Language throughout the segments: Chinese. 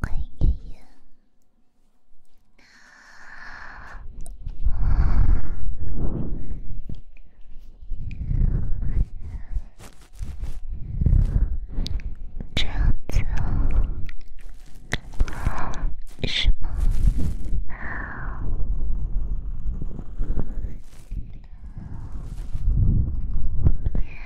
欢迎爷爷，这样是吗？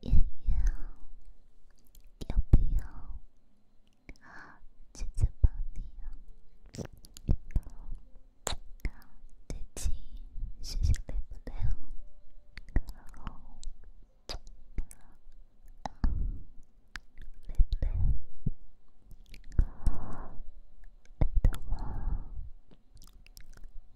妍妍，要不要啊？姐姐帮你哦。好，再见。谢谢，对不对哦？好，拜拜。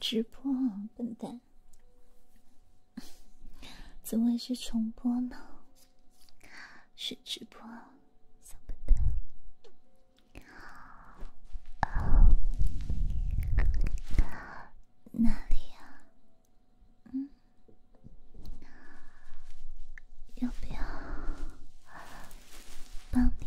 直播，笨蛋，怎会是重播呢？是直播，怎么不？哪里呀？嗯。要不要帮你？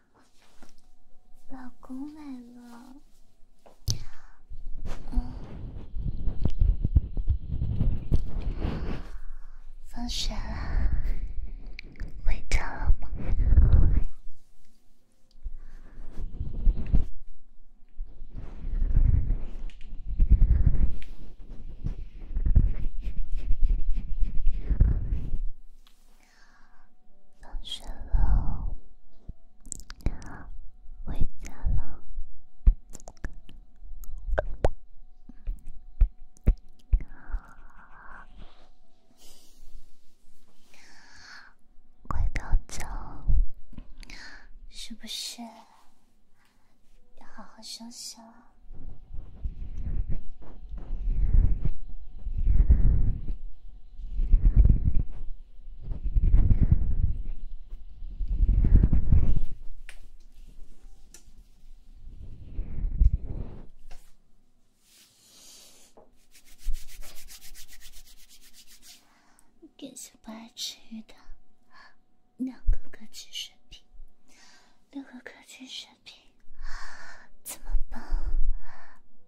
老公来了，嗯，放学了，回家了吗？放学了，回家了，快睡觉，是不是要好好休息了？典型不爱吃鱼的，两个科技水平，两个科技水平，怎么办？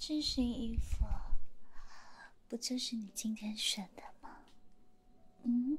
这身衣服，不就是你今天选的吗？嗯。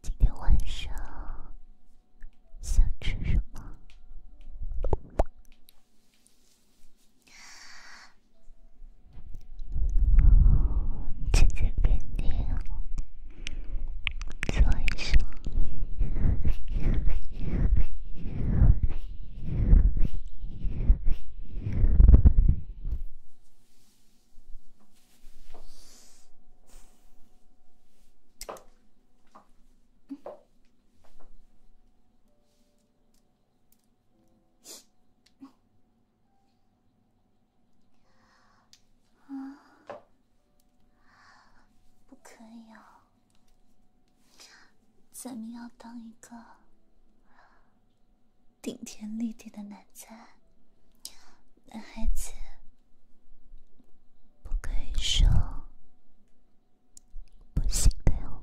今天晚上想吃什么？姐姐跟你说一声。不可以哦！咱们要当一个顶天立地的男子，男孩子不可以说不行的哟。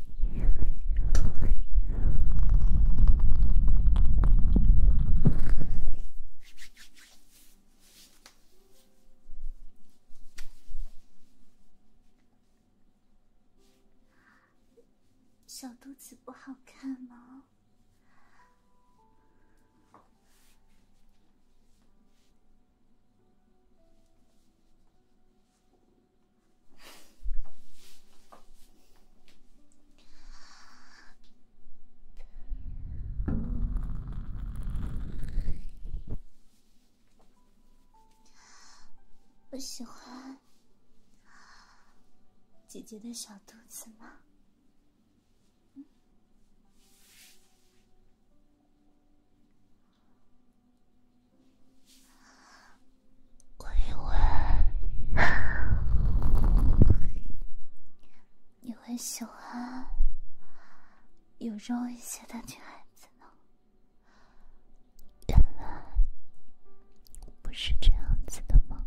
小肚子不好看吗？我喜欢姐姐的小肚子吗？我以为你会喜欢有肉一些的女孩子呢，原来不是这样子的吗？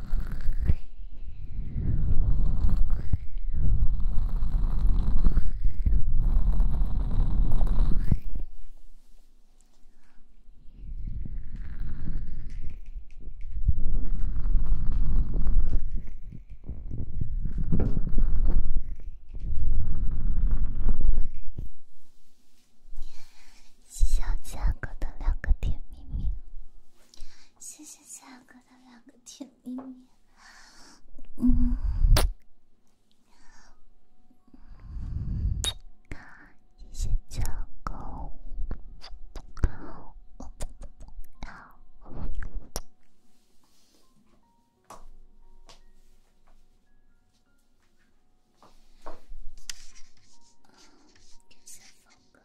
小家伙的两个甜蜜蜜。谢谢夏哥的两个甜蜜蜜。嗯，感谢夏哥，感谢方哥。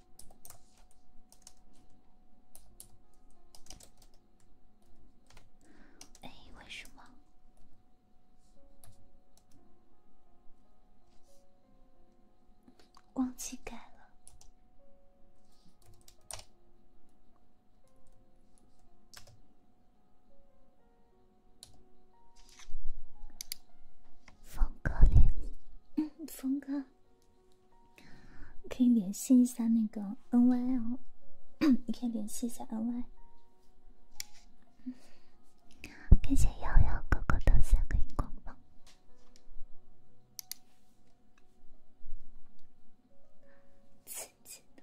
哎，为什么？忘记改了。峰哥嘞，嗯，峰哥。可以联系一下那个 N Y 哦，你可以联系一下 N Y。感谢瑶瑶哥哥的三个荧光棒，刺激的。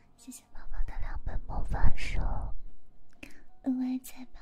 谢谢宝宝的两本魔法书，额外彩蛋。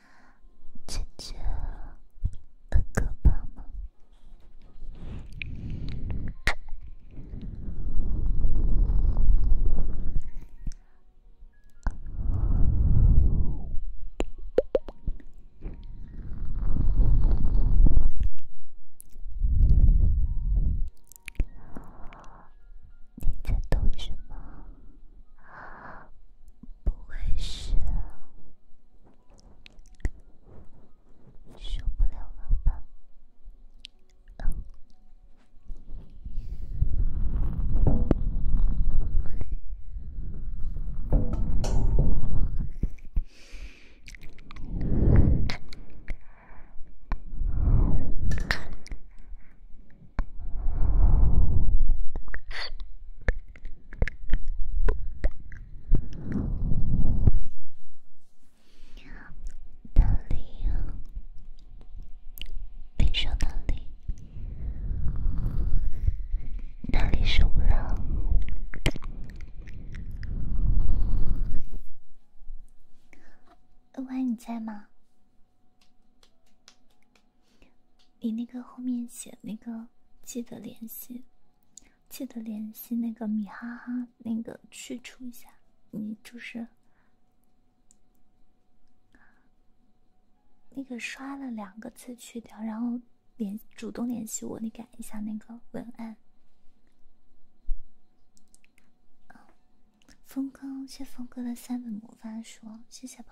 姐姐，哥哥帮忙。你在读什么？不会是受不了了吧？哪里？你说哪里？哪里是五楼？五你在吗？你那个后面写那个记得联系，记得联系那个米哈哈那个去除一下，你就是那个刷了两个字去掉，然后联主动联系我，你改一下那个文案。峰哥，谢峰哥的三本魔法书，谢谢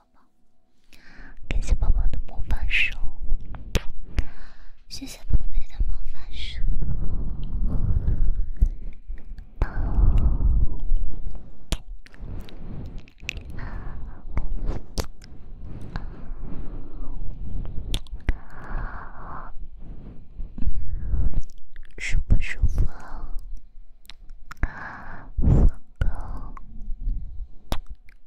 感谢宝宝的魔法手，谢谢宝贝的魔法手，宝，舒不舒服？宝宝。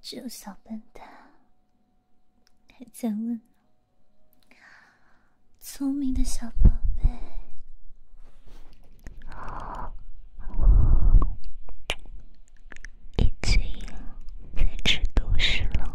臭小笨蛋，还在问聪明的小宝贝。已经再吃多时了。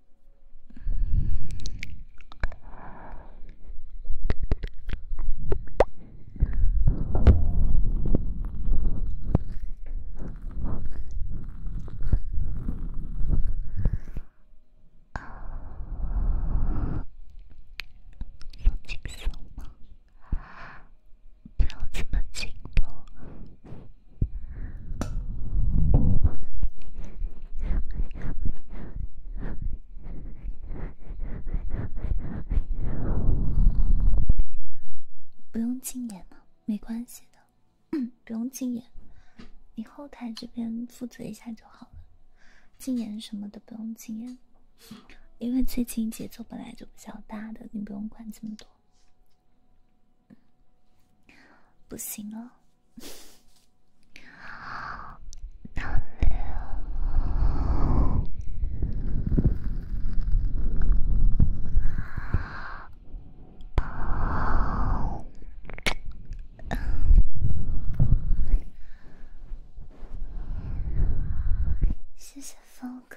放轻松吗？不要这么紧绷。不用禁言了，没关系的，不用禁言，你后台这边负责一下就好了。禁言什么的不用禁言，因为最近节奏本来就比较大的，你不用管这么多。不行了。谢谢峰哥。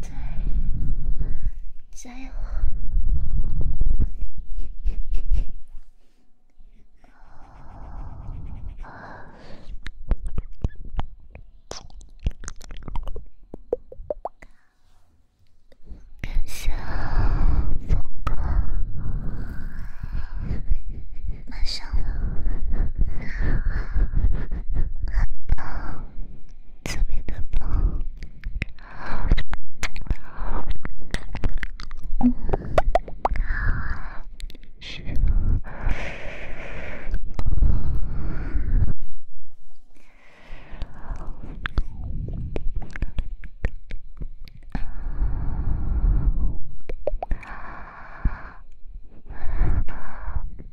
在，加油！感谢峰哥，马上了，很棒。特别的棒，一些棒。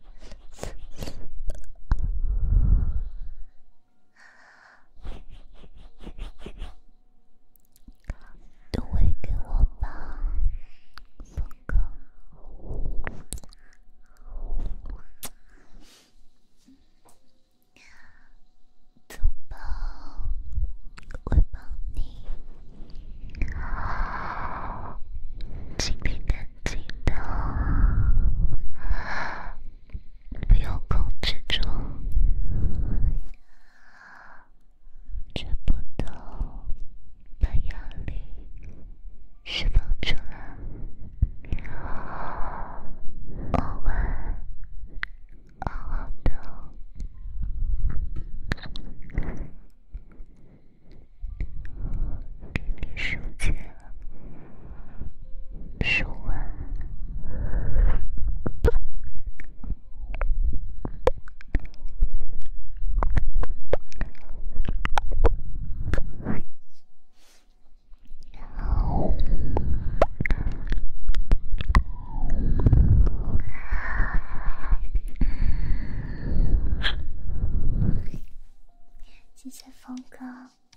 都喂给记得，不要控制住，全部都把压力释放出来，我们好给你收钱。说完，谢谢峰哥。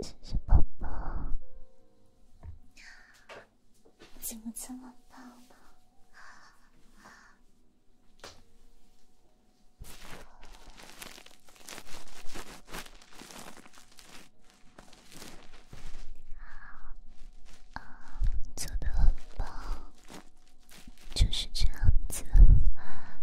谢谢宝宝，怎么这么棒呢？做的很棒，就是这样子。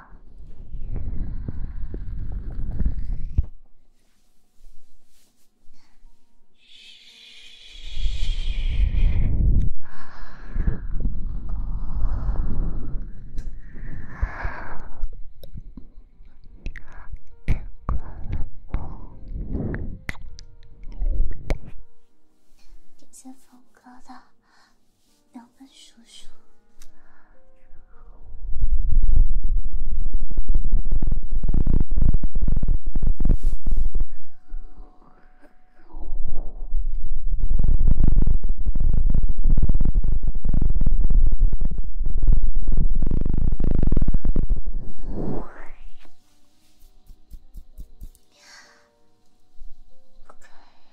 别哭了。两本书书。不可以，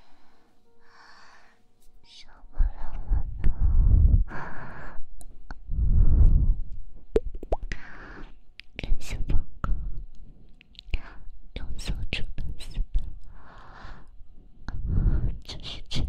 受不了了。勇敢，敢释放，敢有所触动，释放，这是最好。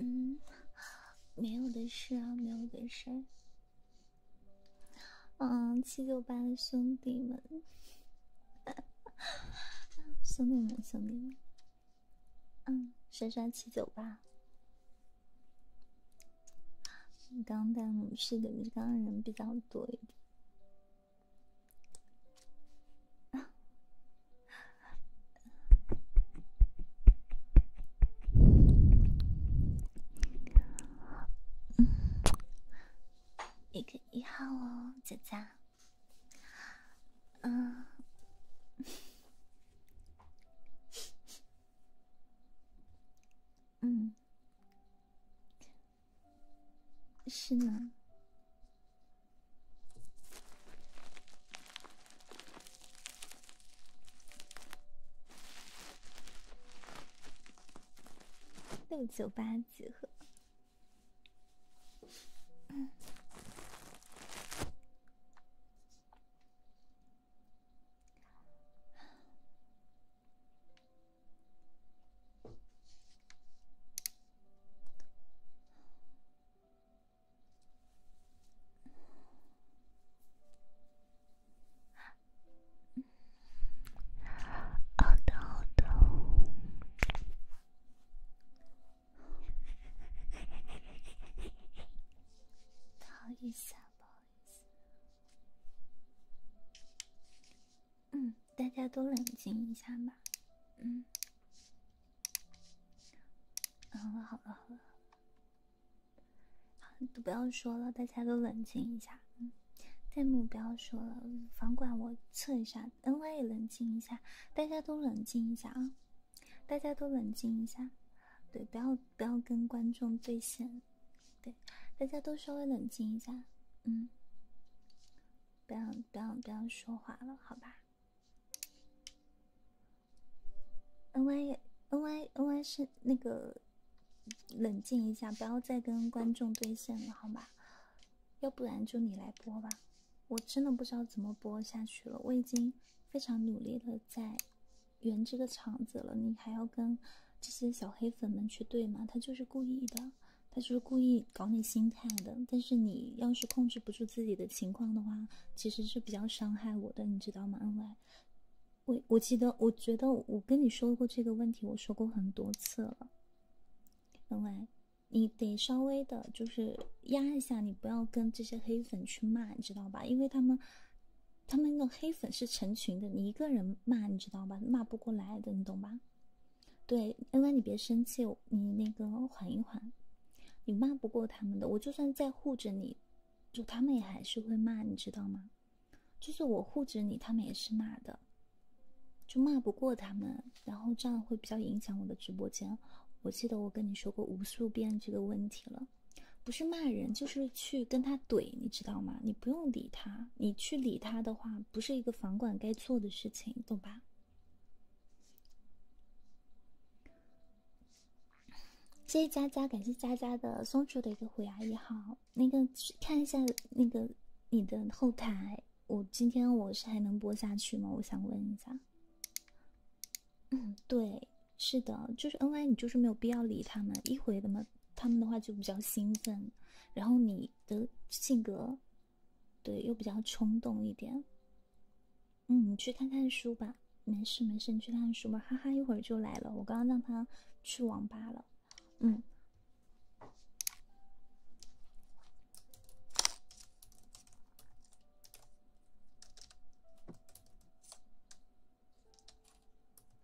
嗯，没有的事啊，没有的事。嗯，七九八的兄弟们，兄弟们，兄弟们，嗯，刷刷七九八。刚刚带女士的，刚刚人比较多一点。一个一号哦，姐姐。嗯。嗯，是呢，六九八组合。好疼，好疼！疼一下吧。嗯，大家都冷静一下吧。嗯，好了好了好了，好都不要说了，大家都冷静一下。嗯，幕不要说了，房管我测一下，NY 也冷静一下，大家都冷静一下啊！大家都冷静一下，对，不要。不要跟观众对线，对，大家都稍微冷静一下，嗯，不要不要不要说话了，好吧？n y n y n y 是那个冷静一下，不要再跟观众对线了，好吧？要不然就你来播吧，我真的不知道怎么播下去了，我已经非常努力的在。圆这个场子了，你还要跟这些小黑粉们去对吗？他就是故意的，他就是故意搞你心态的。但是你要是控制不住自己的情况的话，其实是比较伤害我的，你知道吗？恩外，我我记得，我觉得我跟你说过这个问题，我说过很多次了。恩外，你得稍微的就是压一下，你不要跟这些黑粉去骂，你知道吧？因为他们。他们那黑粉是成群的，你一个人骂，你知道吧？骂不过来的，你懂吧？对，恩恩，你别生气，你那个缓一缓，你骂不过他们的，我就算再护着你，就他们也还是会骂，你知道吗？就是我护着你，他们也是骂的，就骂不过他们，然后这样会比较影响我的直播间。我记得我跟你说过无数遍这个问题了。不是骂人，就是去跟他怼，你知道吗？你不用理他，你去理他的话，不是一个房管该做的事情，懂吧？谢谢佳佳，感谢佳佳的松鼠的一个虎牙一号。那个看一下那个你的后台，我今天我是还能播下去吗？我想问一下。嗯，对。是的，就是 N Y，你就是没有必要理他们，一回的嘛，他们的话就比较兴奋，然后你的性格，对，又比较冲动一点。嗯，你去看看书吧，没事没事，你去看看书吧，哈哈，一会儿就来了，我刚刚让他去网吧了，嗯。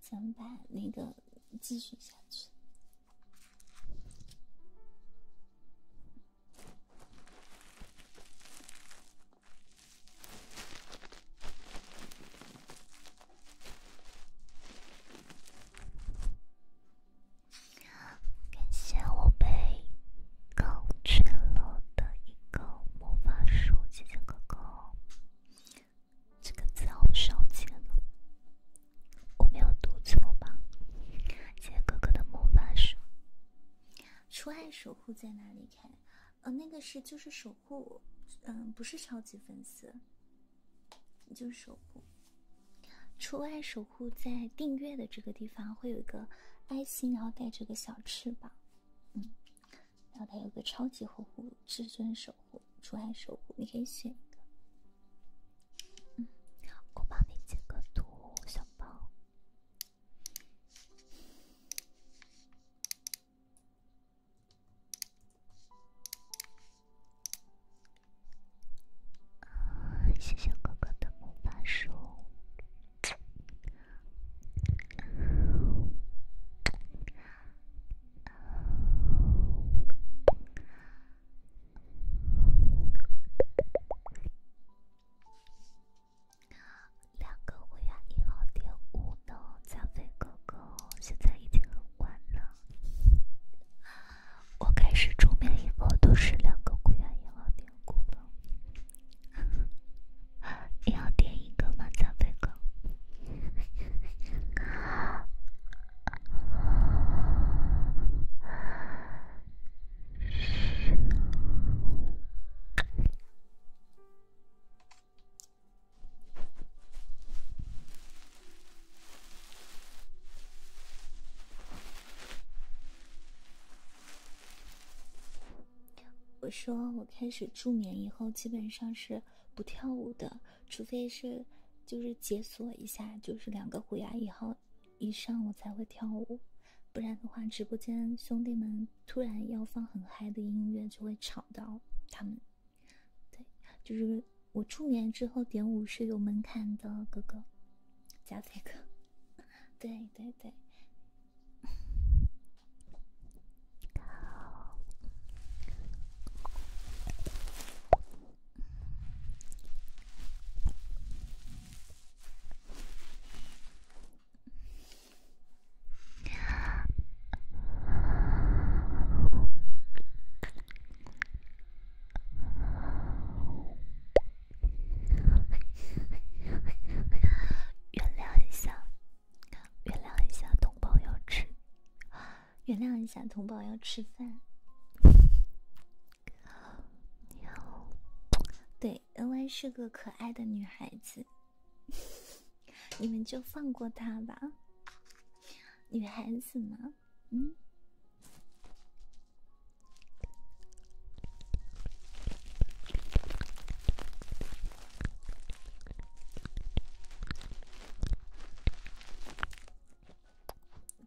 咱把那个继续下去。感谢我被搞去了的一个魔法书，谢谢哥哥。这个字我少熟悉我没有读错吧？谢谢哥哥的魔法书。除爱守护在哪里开？呃，那个是就是守护，嗯，不是超级粉丝，就是守护。除爱守护在订阅的这个地方会有一个爱心，然后带着个小翅膀，嗯，然后它有个超级守护、至尊守护、除爱守护，你可以选一个。我帮你截个图，小宝。啊，谢谢哥哥的魔法书。两个《孤崖一号典故》呢，贾飞哥哥，现在已经很晚了。我开始入眠以后都是两个《孤崖一号典故》呢。你好，点一个吗，贾飞哥？我说，我开始助眠以后，基本上是不跳舞的，除非是就是解锁一下，就是两个虎牙以后。一上我才会跳舞，不然的话，直播间兄弟们突然要放很嗨的音乐，就会吵到他们。对，就是我出眠之后点舞是有门槛的，哥哥，加菲哥。对对对。原谅一下，原谅一下，同胞要吃，原谅一下，同胞要吃饭。对，N Y 是个可爱的女孩子，你们就放过她吧。女孩子嘛，嗯。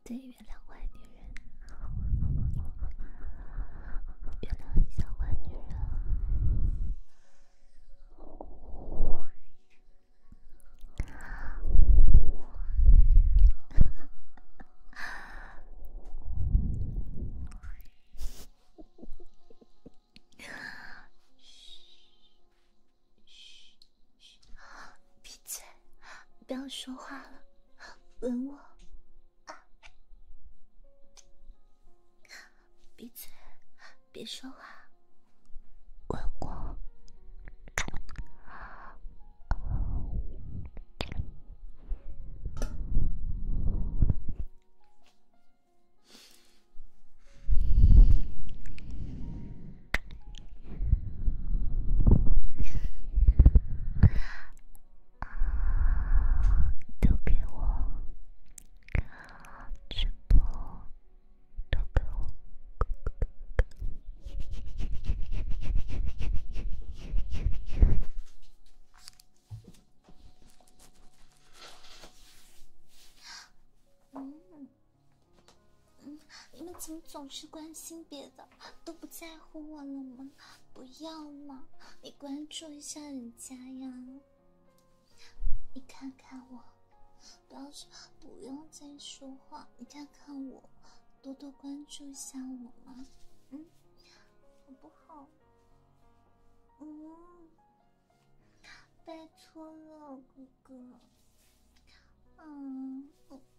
对月亮坏女人，原谅很像坏女人。闭嘴，不要说话了，吻我。闭嘴，别说话，乖我。啊！都给我看直播，都给我……你们怎么总是关心别的？都不在乎我了吗？不要嘛！你关注一下人家呀！你看看我，不要说，不用再说话。你看看我，多多关注一下我嘛，嗯，好不好？嗯，拜托了，哥哥，嗯。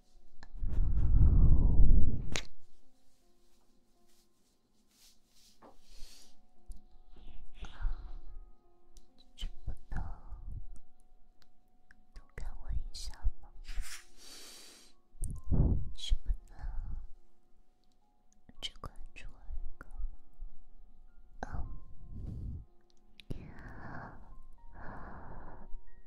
你做不能多看我一下吗？你不能只关注我一个吗？哦。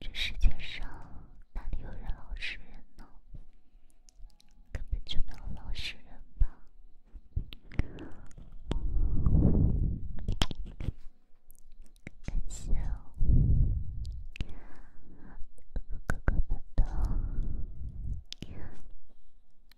这世界上哪里有人老实人呢？根本就没有老实人吧？感谢，哥哥们到。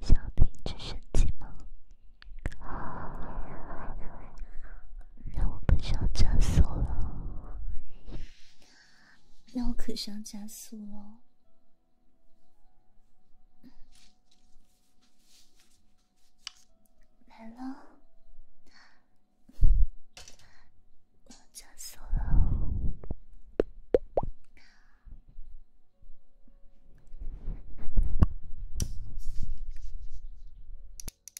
小屏直升机吗？那我不上厕所了。那我可是要加速喽！来喽，要加速喽！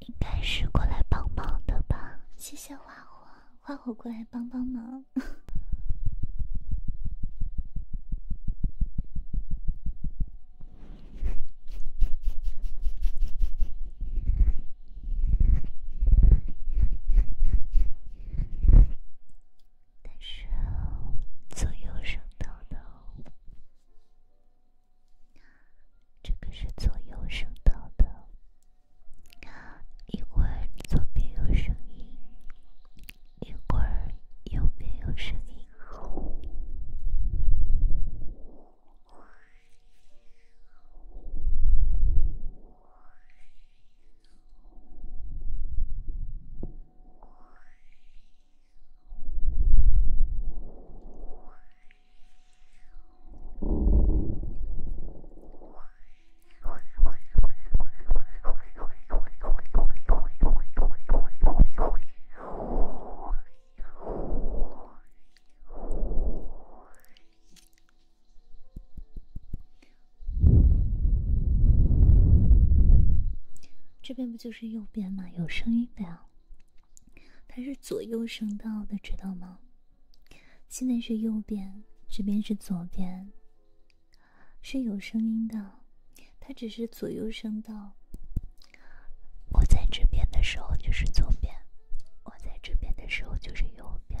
应该是过来帮忙的吧？谢谢花火，花火过来帮帮忙。但是，左右声道的。这个是左右声道的，一会左边有声音，一会右边有声音。这边不就是右边吗？有声音的呀。它是左右声道的，知道吗？现在是右边，这边是左边，是有声音的。它只是左右声道。我在这边的时候就是左边，我在这边的时候就是右边。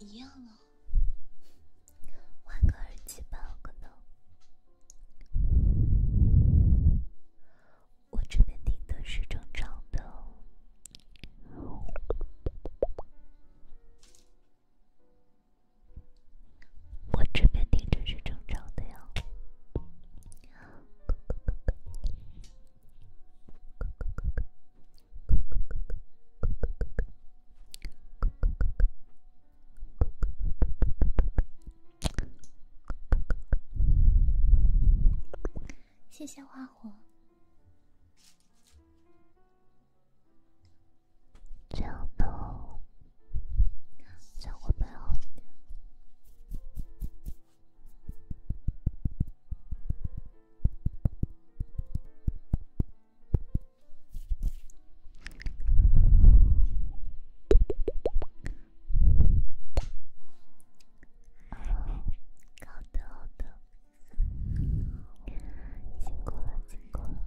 一样啊，换个耳机吧，可能我这边听的是正常的。我这边听着是正常的哟，谢谢花火，江豆。再会摆好一点。辛苦了辛苦了。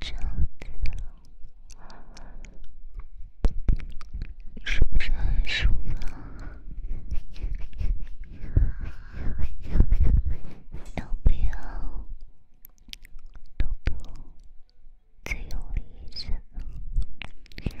姐姐，是不是很舒服？要不要？要不要？最有意思的。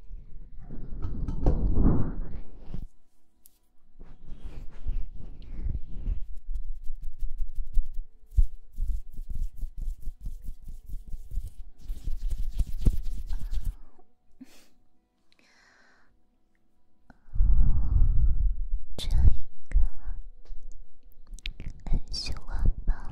这一个很喜欢吧。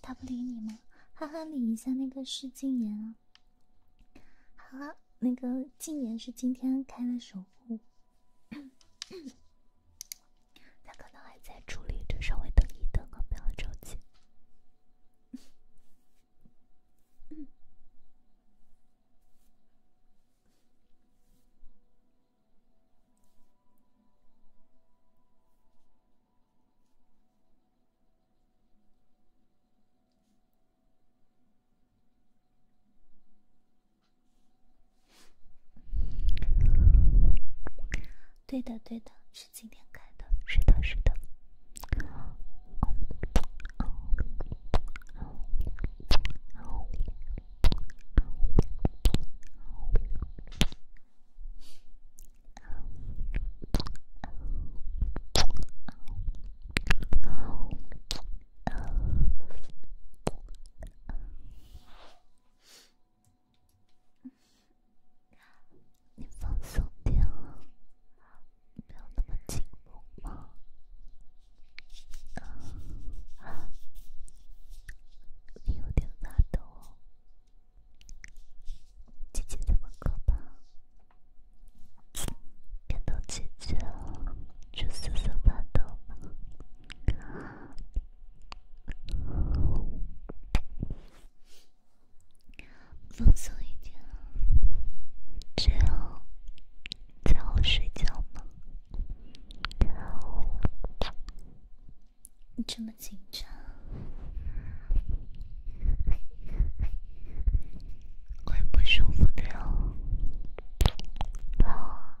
他不理你吗？哈哈，理一下那个是禁言。啊。好了，那个禁言是今天开的守护。他可能还在处理着，稍微等一等，不要着急。对的，对的，是今天开的。是的，是的。你放松点了，没那么紧绷吗？有点发抖。姐姐怎么可怕？看到姐姐了就瑟瑟发抖放松一点，这样叫我睡觉吗？你这么紧张，会不舒服的哟。好。